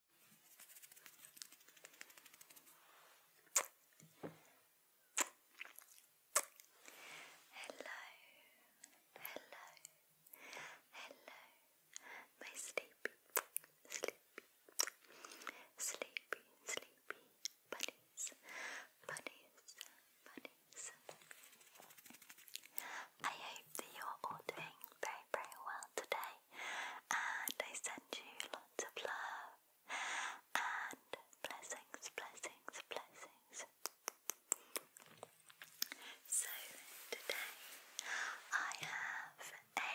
Hello, hello, hello, my sleepy, sleepy, sleepy, sleepy bunnies, bunnies, bunnies. I hope that you are all doing very, very well today and I send you lots of love and blessings, blessings, blessings. So today I have a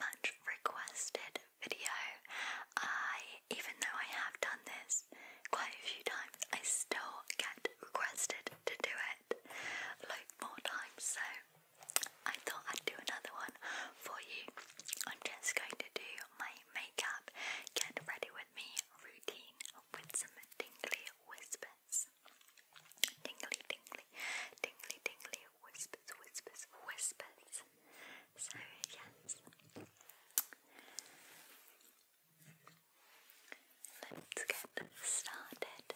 much requested video. I, even though I have done this quite a few times, I still get requested to do it A lot more times. So I thought I'd do another one for you. I'm just going to do my makeup, get ready with me routine with some tingly whispers. Tingly, tingly, tingly, tingly whispers, whispers, whispers. So, yes. Let's get started.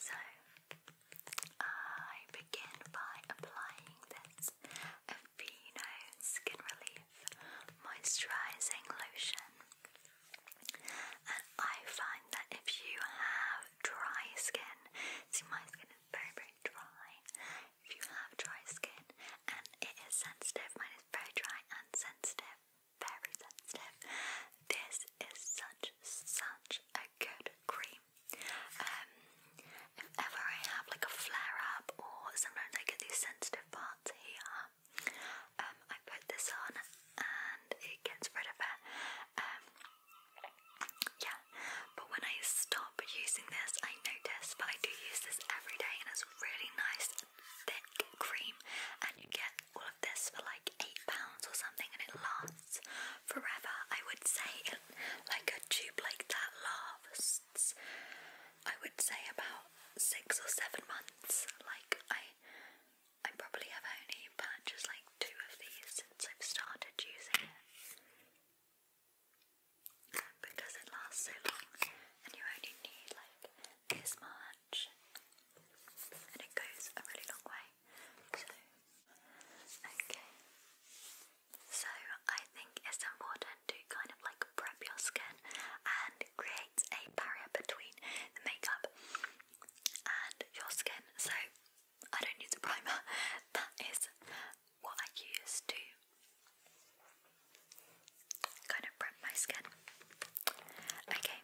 So I begin by applying this Aveeno Skin Relief Moisturizing Lotion. And I find that if you have dry skin, see my skin is very, very dry. If you have dry skin and it is sensitive, mine is very dry and sensitive very sensitive. This is such, such a good cream. Um, if ever I have like a flare up or sometimes I get these sensitive parts here, um, I put this on and it gets rid of it. Um, yeah, but when I stop using this, I notice, but I do use this every day and it's really nice thick cream and you get all of this for like eight pounds or something, and it lasts forever. I would say, like a tube like that lasts. I would say about six or seven months. Like I, I probably have only just like two of these since I've started using it. Because it lasts so long, and you only need like this much and it goes a really long way. So, okay. So, I think it's important to kind of like prep your skin and create a barrier between the makeup and your skin. So, I don't use a primer, that is what I use to kind of prep my skin. Okay.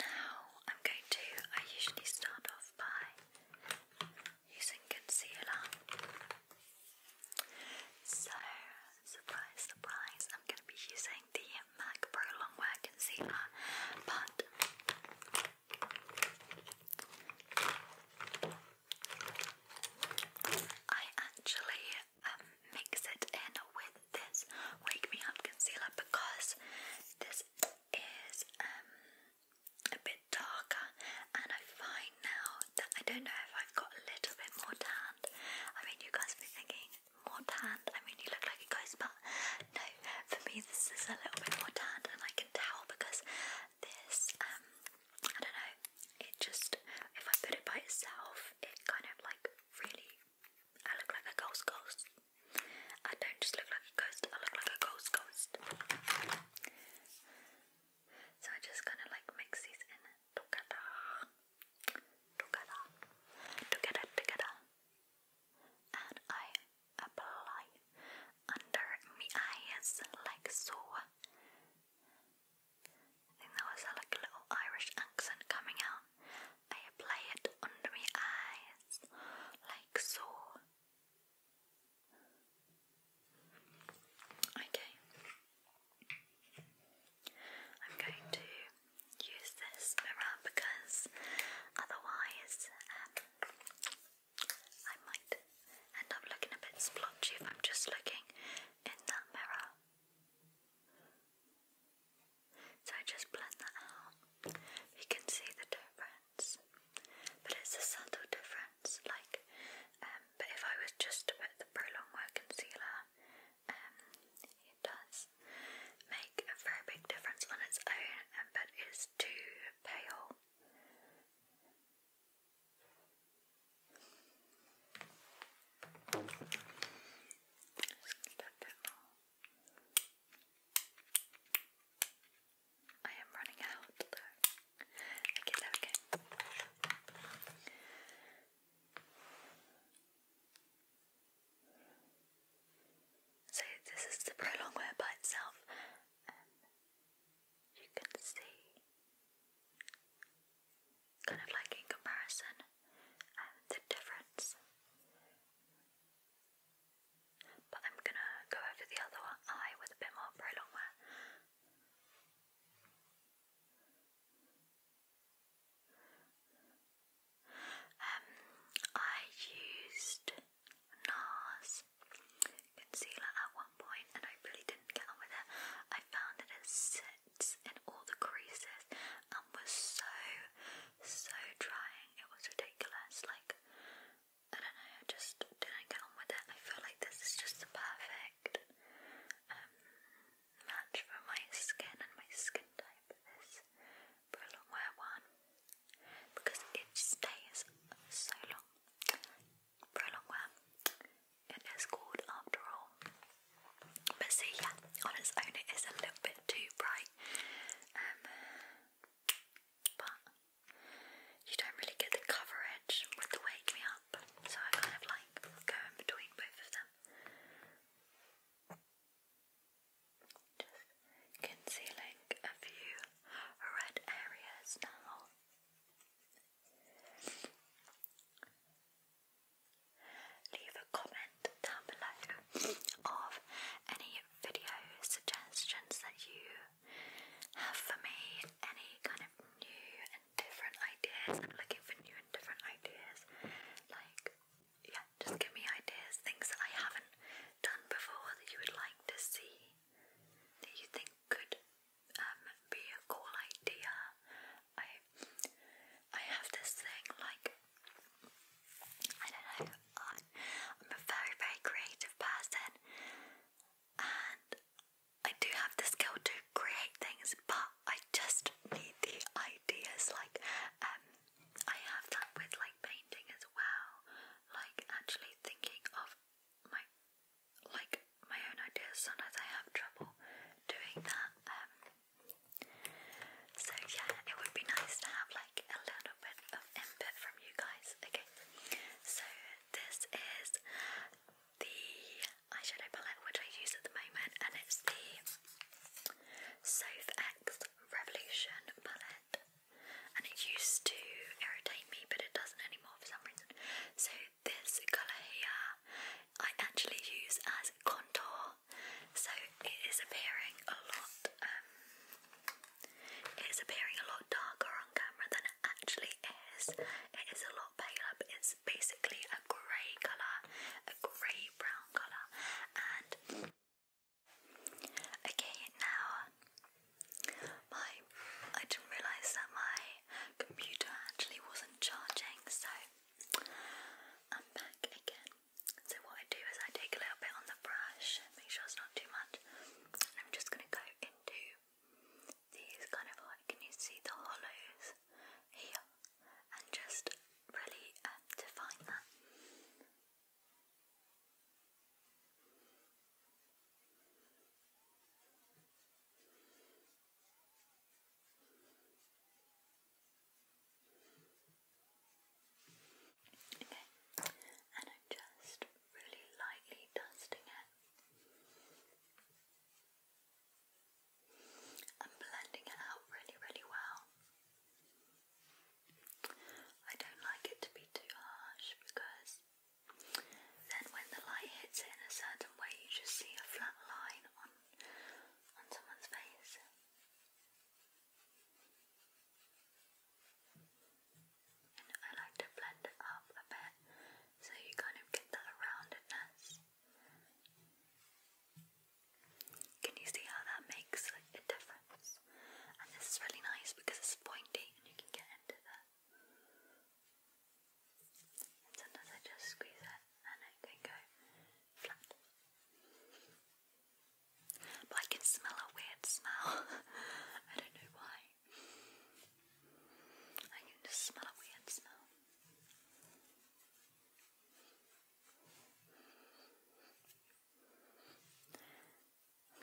Now I'm going to, I usually start off by using concealer. So, surprise, surprise, I'm going to be using the MAC Pro Concealer, but I actually um, mix it in with this Wake Me Up concealer because this is um, a bit darker and I find now that I don't know if I've got a little bit more tanned. I mean you guys will be thinking more tanned, I mean you look like you guys but no, for me this is a little bit more tanned and I can tell because this, um, I don't know, it just, if I put it by itself it kind of like really. I look like a ghost ghost. I don't just look like a ghost, I look like a ghost ghost. So I just kind of like mix these in together. Together. Together, together. And I apply under my eyes like so. I think there was like a little Irish accent coming out. I apply it under my eyes, like so. Okay. I'm going to use this mirror because otherwise um, I might end up looking a bit splotchy if I'm just looking in that mirror. So I just blend that out. You can see the difference, but it's a subtle difference. Like, um, but if I was just to put the Prolong Concealer, um, it does make a very big difference on its own, um, but it's too pale. I am running out So this is the prolong by itself um, you can see kind of like in comparison um, the difference. But I'm gonna go over the other eye with a bit more prolong wear. Um, I used NARS concealer at one point and I really didn't get on with it. I found that it's rents in all the creases and was so, so trying. It was ridiculous. Like, I don't know, I just didn't get on with it. I feel like this is just the perfect um, match for my skin and my skin type. This Brilliant Wear one because it stays so long. Brilliant Wear. It is called after all. But see, yeah, on its own it is a little bit too bright. Um, but you don't really get the coverage with the Wake Me Up, so I kind of like go in between both of them. Just concealing a few red areas now. Leave a comment down below of any video suggestions that you have for me, any kind of new and different ideas. I'm looking for new and different ideas. Like, yeah, just give me ideas, things that I haven't done before that you would like to see, that you think could um, be a cool idea. I have this thing like I don't know. I'm a very very creative person, and I do have the skill to create things, but I just need the ideas. Like um, I have that with like painting as well. Like actually thinking of my like my own ideas. Sometimes I have trouble doing that. Um, so yeah, it would be nice to have like a little bit of input from you guys. Okay, so this is the eyeshadow palette which I use at the moment, and it's the Sof Revolution palette. And it used to irritate me, but it doesn't anymore for some reason. So this colour here I actually use as contour, so it is appearing a lot. Um, it is appearing a lot darker on camera than it actually is. It is a lot paler, it's basically a grey colour, a grey brown colour, and. Okay, now my I didn't realise that my computer actually wasn't charging, so I'm back again. So what I do is I take a little bit on the brush, make sure it's not too much, I'm just gonna go into these kind of like, can you see the hollows here? And just really um, define that. Okay, and I'm just really lightly dusting it. i blending it out really, really well. I don't like it to be too harsh because then when the light hits it in a certain way, you just see a flat line on on someone's face. And I like to blend it up a bit so you kind of get that roundedness. Can you see how that makes a difference? And this is really nice because it's pointy and you can get into the sometimes I just squeeze it and it can go flat. But I can smell a weird smell. I don't know why. I can just smell a weird smell.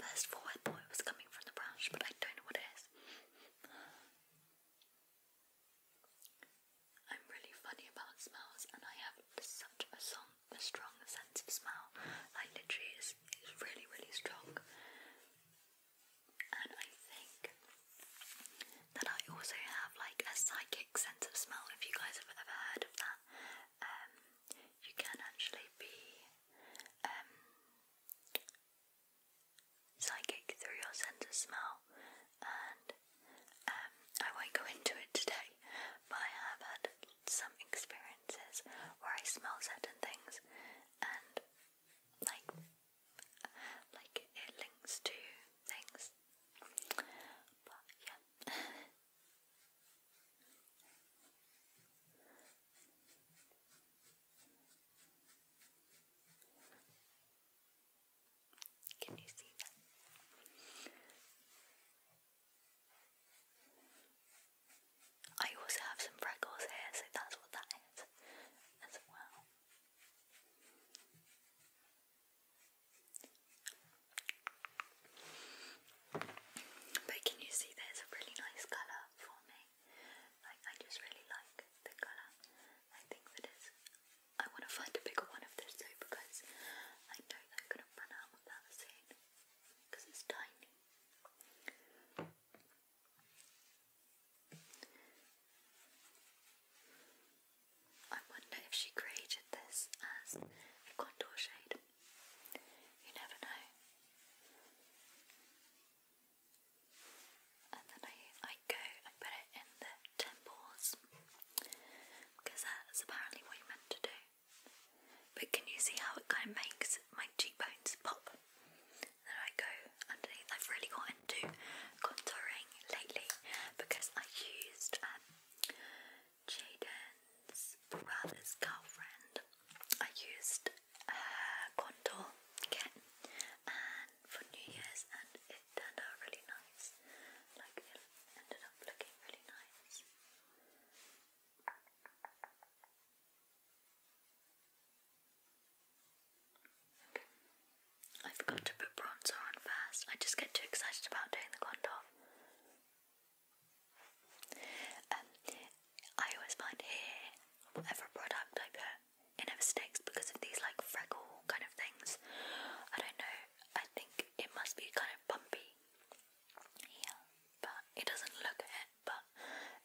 First thought I thought it was coming from the brush, but I don't know what it is. I'm really funny about smells, and I have such a, strong sense of smell. Like literally, it's, is really, really strong. And I think that I also have like a psychic sense of smell. If you guys have ever heard of that, um, you can actually be um, psychic through your sense of smell, and um, I won't go into it today, but I have had some experiences where I smell certain things, and like, like it links to things. But yeah. Can you see them? I also have some freckles here, so that's what that is as well. But can you see there's a really nice colour for Like I just really like the colour. I think that I want to find a bigger one of this though because I know that i going to run out of that soon because it's tiny. I wonder if she created this as a contour shade. You never know and then I, I go and put it in the temples because that's apparently what you're meant to do. But can you see how it kind of makes my cheekbones pop? then I go I've really got into contouring lately because I used um, Jaden's brother's girlfriend. I used contour kit for New Year's and it turned out really nice. Like it ended up looking really nice. Okay. I forgot to put bronzer on first. I just get too excited about doing the contour. Um, I always find here, whatever product I put, it never sticks because of these like freckle kind of things. I don't know. I think it must be kind of bumpy here, but it doesn't look it. But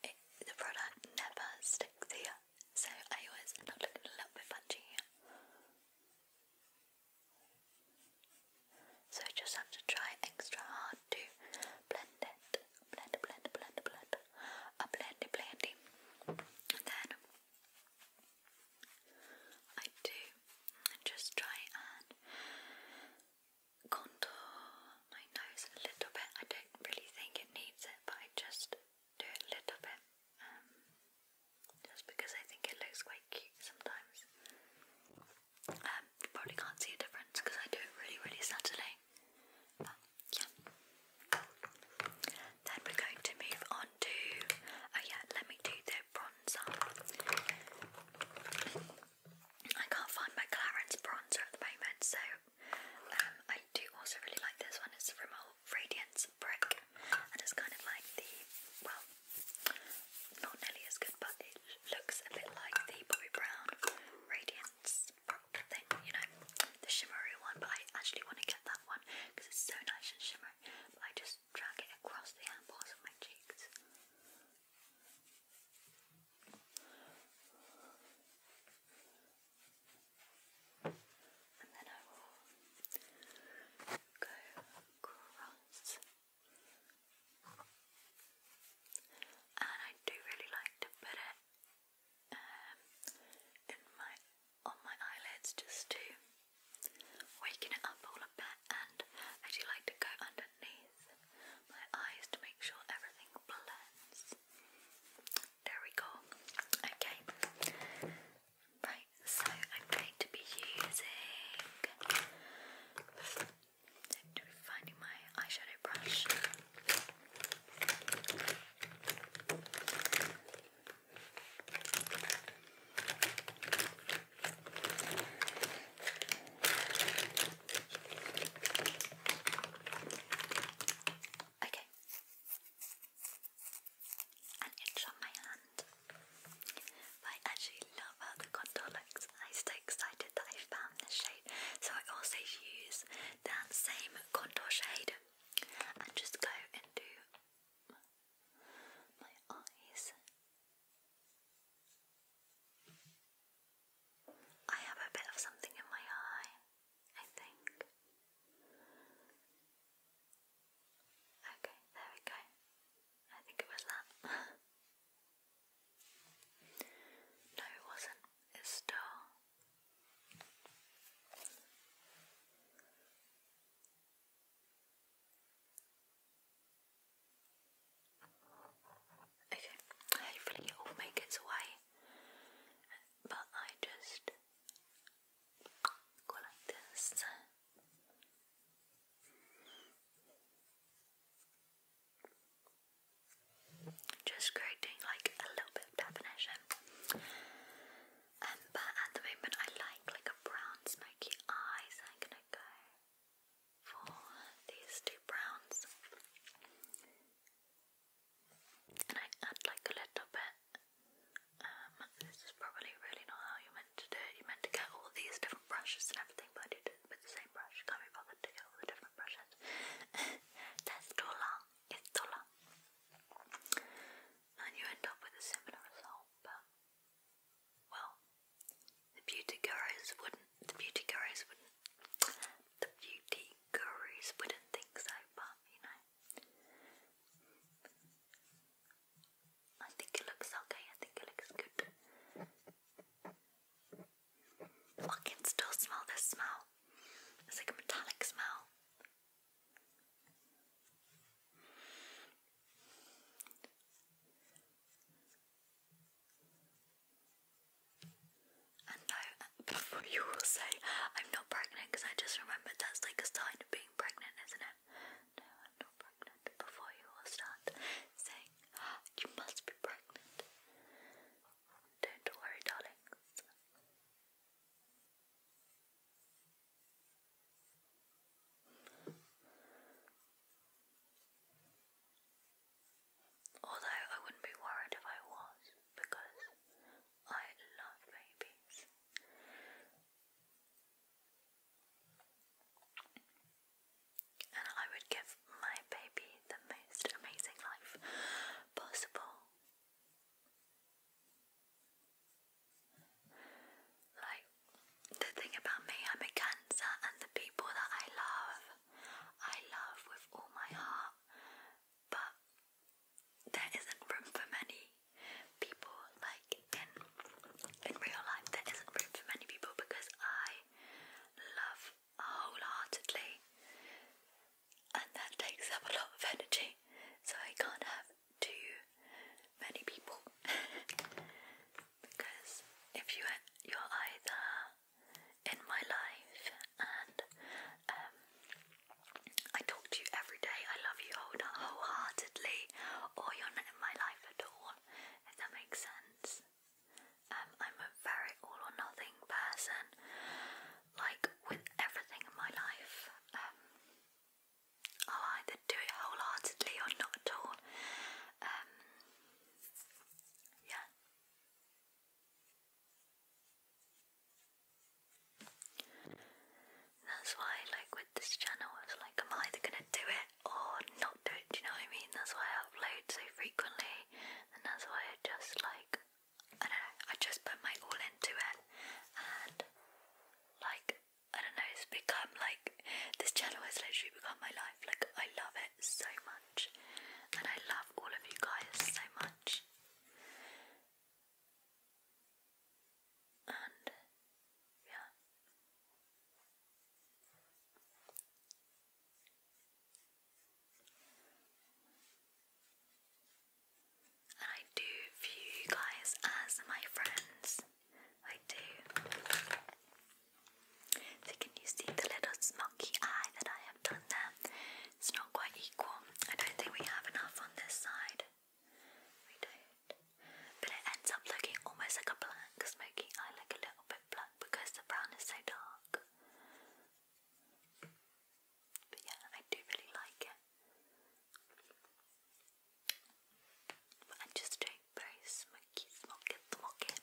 it, the product never sticks here, so I always end up looking a little bit punchy here. So I just have to try extra hard to blend it. Blend, blend, blend, blend. A blendy, blendy. And then I do just try and contour my nose a little bit. I don't really think it needs it, but I just do it a little bit um, just because I think it looks quite cute sometimes. Um, you probably can't see a difference because I do it really, really subtly. Then we're going to move on to, oh yeah, let me do the bronzer. I can't find my Clarins bronzer at the moment, so um, I do also really like this one. It's from Radiance Brick, and it's kind of like the, well, not nearly as good, but it looks a bit like the Bobbi Brown Radiance Brick thing, you know, the shimmery one, but I actually want to get that one because it's so nice and shimmering, but I just drag it across the handles of my cheeks. And then I will go across. And I do really like to put it um, on my eyelids just to waken it up all a bit, and I do like to go underneath my eyes to make sure everything blends. There we go. Okay. Right, so I'm going to be using. finding my eyeshadow brush. Okay. An inch on my hand. I actually love how the contour looks. I'm so excited that I found this shade. So I also use that same contour shade and just go and do my eyes. I have a bit of something in my eye, I think. Okay, there we go. I think it was that. no, it wasn't. It's still Okay, hopefully it all make its way, but I just go like this. Just creating like a little bit of definition. Um, but at the moment I like like a brown smoky eyes. I'm gonna go for these two browns. And I add like a little bit. Um, this is probably really not how you meant to do you meant to get all these different brushes and everything, but I did with the same brush. Can't be bothered to get all the different brushes. That's too It's too and you end up with a similar result. But well, the beauty gurus wouldn't. The beauty gurus wouldn't. The beauty gurus wouldn't think so. But you know, I think it looks okay. I think it looks good. I can still smell this smell. It's like a metallic smell. And I, before you will say, I'm not pregnant, because I just remembered that's like a sign of being pregnant, isn't it? No, I'm not pregnant. Before you will start saying, you must be pregnant. Don't worry, darlings. Although I wouldn't be worried if I was, because I love babies. And I would give my baby the most amazing life possible. Like, the thing about me, I'm a Cancer, and the people that I love, I love with all my heart, but there isn't room for many people. Like, in, in real life, there isn't room for many people because I love wholeheartedly and that takes up a lot of energy, so I can't have too many people because if you you're either in my life and um, I talk to you every day, I love you wholeheartedly, or you're not in my life at all, if that makes sense. Um, I'm a very all or nothing person like with everything in my life. Um, I'll either do it wholeheartedly or not at all. Um, yeah. That's why, like with this channel, it's like I'm either gonna do it or not do it. Do you know what I mean? That's why I upload so frequently, and that's why I just like I don't know, I just put my all into it and like I don't know, it's become like this channel has literally become my life. Like I love it so much and I love all of you guys so much. And yeah. I do view you guys as my friends. I do. So, can you see the little smoky eye that I have done there? It's not quite equal. I don't think we have enough on this side. We don't. But it ends up looking almost like a black smoky eye, like a little bit black because the brown is so dark. But yeah, I do really like it. I'm just doing very smoky, smoky, smoky.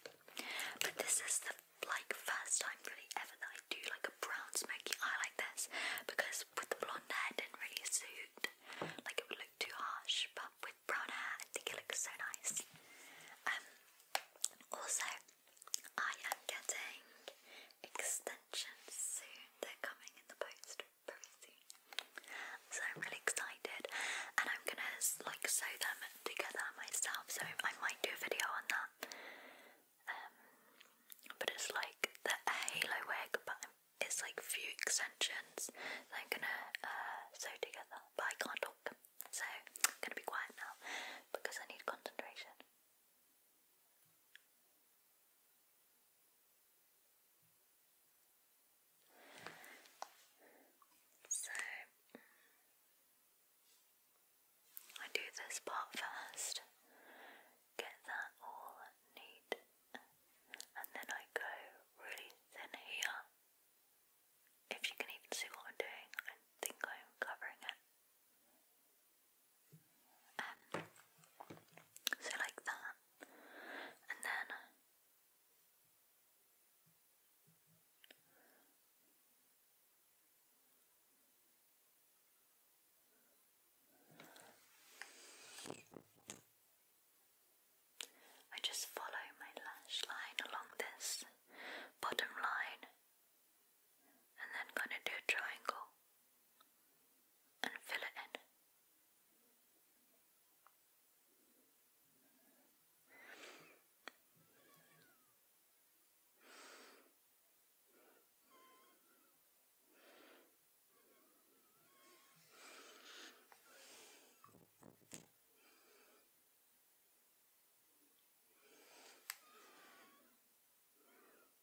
But this is the like first time really ever that I do like a brown smoky eye like this because with the blonde hair didn't really suit. Like it would look too harsh, but with brown hair I think it looks so nice. Um also I am getting extensions soon. They're coming in the post very soon. So I'm really excited and I'm gonna like sew them together myself. So I might do a video on that. Um, but it's like the halo wig but it's like few extensions that I'm gonna uh, sew together but I can't talk. So I'm gonna be quiet now because I need concentration. So mm, I do this part first, get that all neat, and then I go really thin here. If you can even see what I'm doing, I think I'm covering it. Um, so like that, and then I just follow my lash line along this bottom line and then gonna do a triangle and fill it in.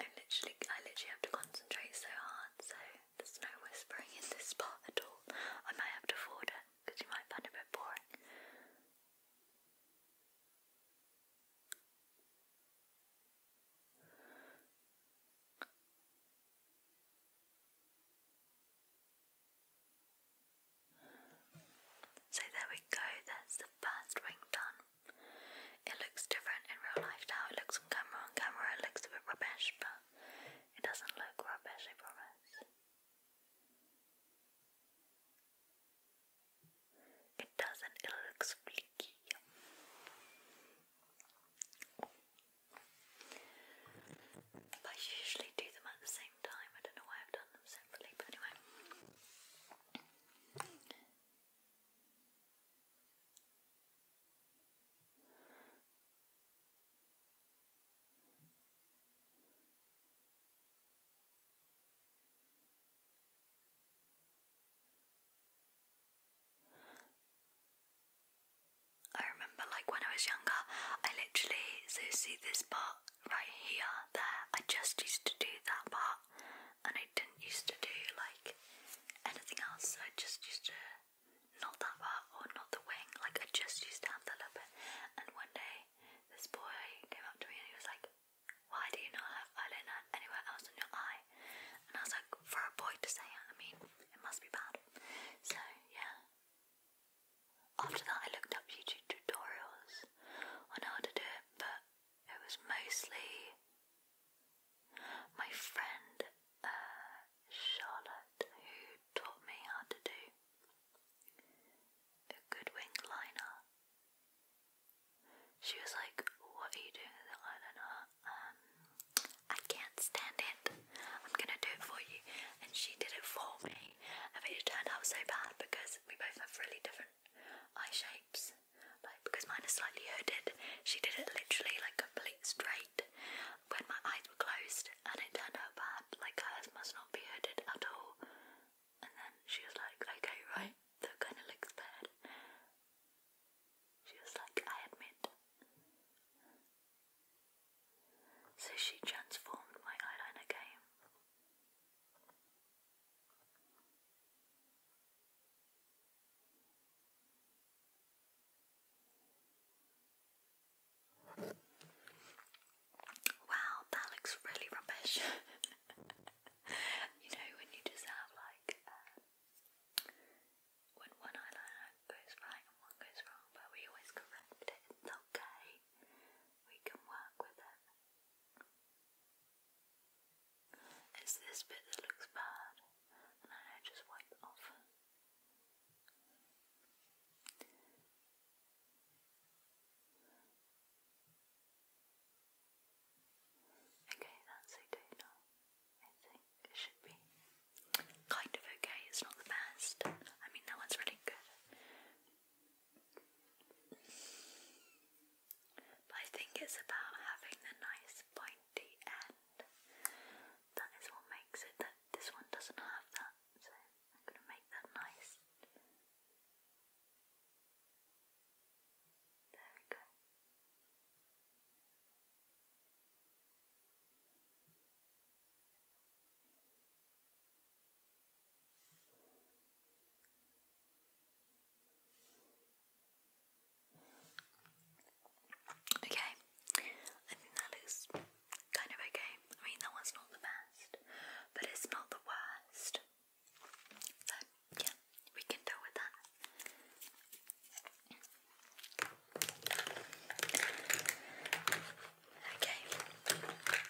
i literally, I literally have to concentrate so hard, so there's no whispering in this part at all. I might have to forward it because you might find it a bit boring. So there we go, that's the first ring done. It looks different in real life now. it looks on camera. On camera it looks a bit rubbish, but it doesn't look rubbish, I promise. It doesn't, it looks fleeky. I usually do them at the same time. I don't know why I've done them separately, but anyway. I remember like when I was younger I literally so see this part right here, there. I just used to do that part and I didn't used to do like anything else. I just used to not that part or not the wing. Like I just used to have that little And one day this boy came up to me and he was like, Why do you not have eyeliner anywhere else on your eye? And I was like, for a boy to say it, I mean, it must be bad. So yeah. After that I looked up YouTube tutorials tips know how to do it, but it was mostly my friend uh, Charlotte who taught me how to do a good wing liner. She was like, What are you doing with the eyeliner? Um, I can't stand it. I'm gonna do it for you. And she did it for me. I mean, it turned out so bad because we both have really different eye shapes. Like because mine are slightly hooded, she did it literally like complete straight when my eyes were closed, and it turned out bad. Like hers must not be hooded at all. And then she was like, "Okay, right, that kind of looks bad." She was like, "I admit." So she transformed my eyeliner game. Wow, that looks really rubbish. you know, when you just have like uh, when one eyeliner goes right and one goes wrong, but we always correct it, okay. We can work with it. It's this bit that looks bad, and I just wipe it off. Okay, that's okay now. I think it should be kind of okay. It's not the best. I mean, that one's really good. But I think it's about having the nice pointy end. That is what makes it that this one doesn't have that, so I'm gonna make that nice. There Okay, I think that kind of okay. I mean, that one's not the best, but it's not the worst. So, yeah, we can deal with that. Okay.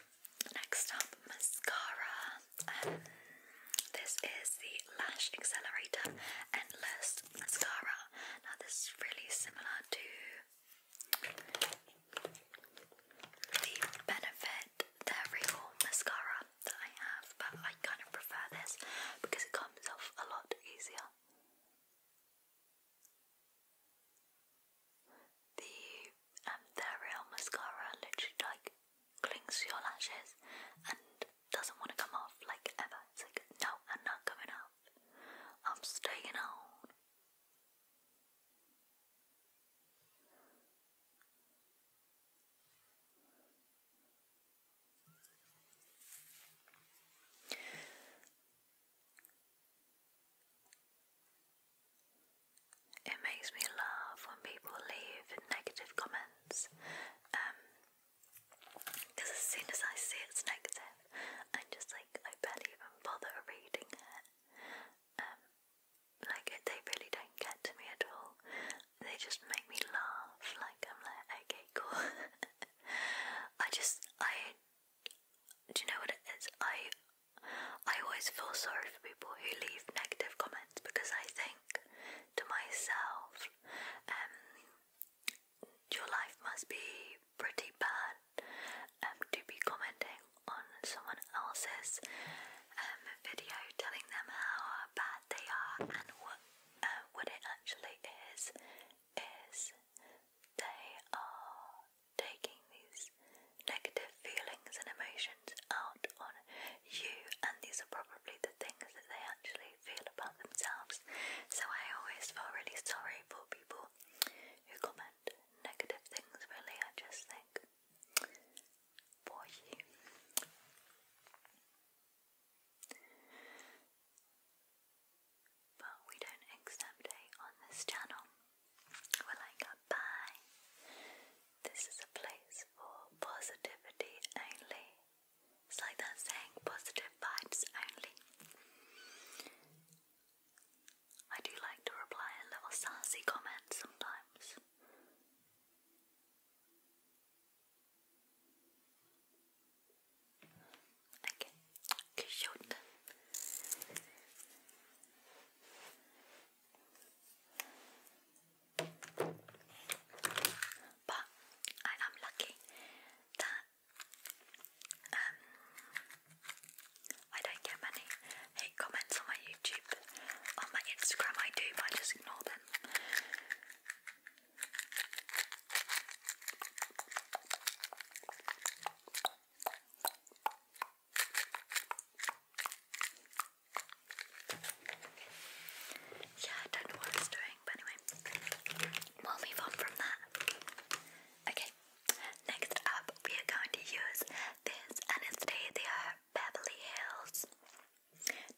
Next up, mascara. Um, this is the Lash Accelerator Endless Mascara. Now, this is really similar to the Benefit The Mascara that I have, but I kind of prefer this because it comes off a lot easier. The um, mascara literally like clings to your lashes and doesn't want to come off like ever. It's like, no, I'm not coming off. I'm staying on. It makes me laugh when people leave negative comments. Because um, as soon as I see it's negative, i just like, I barely even bother reading it. Um, like, they really don't get to me at all. They just make me laugh. Like, I'm like, okay, cool. I just, I, do you know what it is? I I always feel sorry for people who leave negative comments because I think to myself, um, your life must be pretty bad um, to be commenting on someone else's um, video, telling them how bad they are and what uh, what it actually is is they are taking these negative feelings and emotions out on you, and these are probably the things that they actually feel about themselves. So I always feel really sorry for people who comment negative things, really. I just think, for you. But we don't accept hate on this channel. Well, I got This is a place for positivity only. It's like that saying, positive vibes only. I do like to reply a little sassy comment sometimes. Okay, good. But I am lucky that um, I don't get many hate comments on my YouTube. On my Instagram, I do, but I just ignore them. Yeah, I don't know what I doing, but anyway, we'll move on from that. Okay, next up, we are going to use this Anastasia uh, Beverly Hills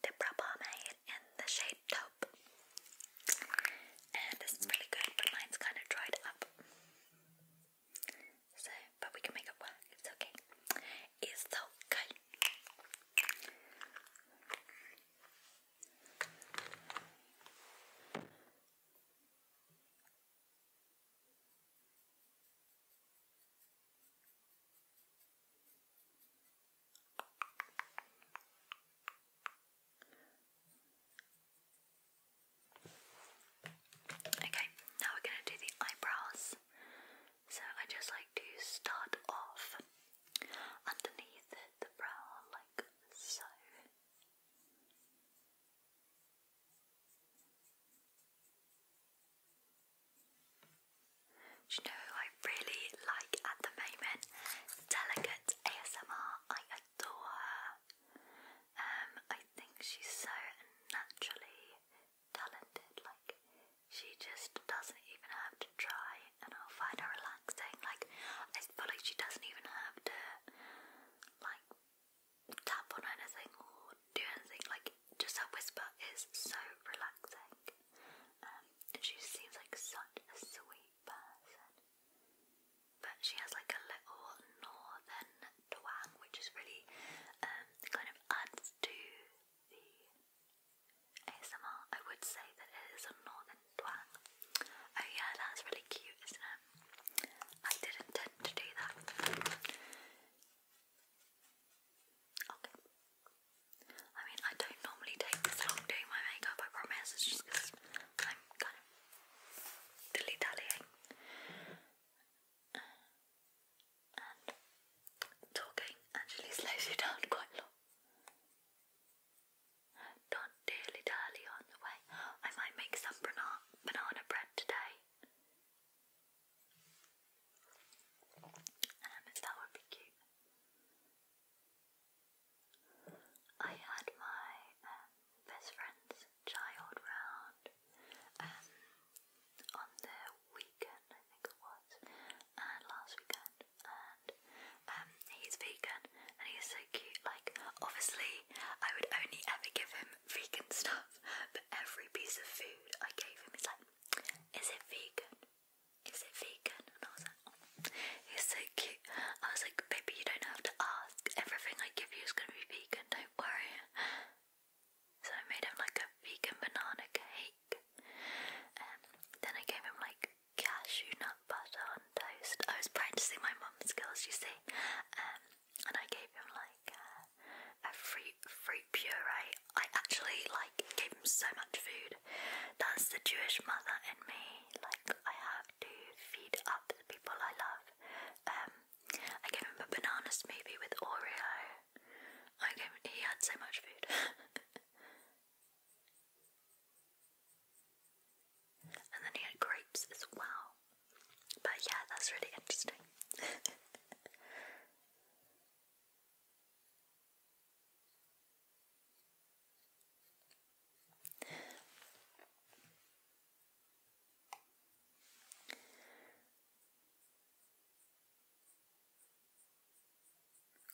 Dipra Pomade in the shade Taupe. And this is really good, but mine's kind of dried up. So, but we can make it work. It's okay. It's okay. Okay, now we're going to do the eyebrows. So I just like to start off underneath the brow, like so. you know I really like at the moment? Delicate ASMR. I adore her. Um, I think she's so naturally talented. Like, she just doesn't even have to try, and I'll find her relaxing. Like, I feel like she doesn't even have to, like, tap on anything or do anything. Like, just her whisper is so relaxing. Um, and she seems like such a sweet person. But she has like a little northern and which is really um, kind of adds to the ASMR. I would say that it is a northern twang. Oh yeah, that's really cute, isn't it? I didn't intend to do that. Okay. I mean, I don't normally take this long doing my makeup, I promise, it's just because I'm kind of dilly dallying and talking actually slows you down quite a lot. Don't dilly dally on the way. I might make some banana, banana bread today. Um, that would be cute. I had my um, best friend's child round um, on the weekend, I think it was, and last weekend, and um, he's vegan and he's so cute. Like, obviously, I would only ever give him vegan stuff, but every piece of food I gave him he's like, is it vegan? Is it vegan? And I was like, oh. he's so cute. I was like, baby, you don't have to ask. Everything I give you is gonna be vegan. Don't worry. So I made him like a vegan banana cake, and um, then I gave him like cashew nut butter on toast. I was practicing my mum's skills, you see, um, and I gave him like uh, a fruit fruit puree. I actually like gave him so much food. That's the Jewish mother in me. Like I have to feed up the people I love. Um, I gave him a banana smoothie with Oreo. I gave him, he had so much food. and then he had grapes as well. But yeah, that's really interesting.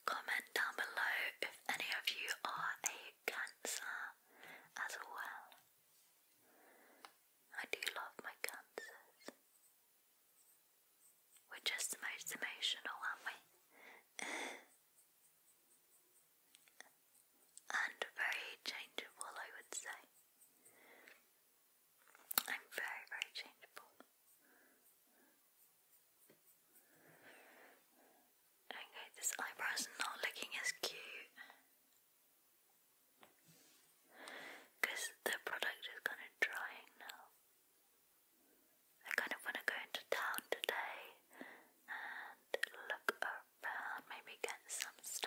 Comment down below if any of you are a cancer as well. I do love my cancers. We're just the most emotional, aren't we? and very changeable, I would say. I'm very, very changeable. Okay, this eyebrow's not looking as cute because the product is kind of drying now. I kind of want to go into town today and look around, maybe get some stuff.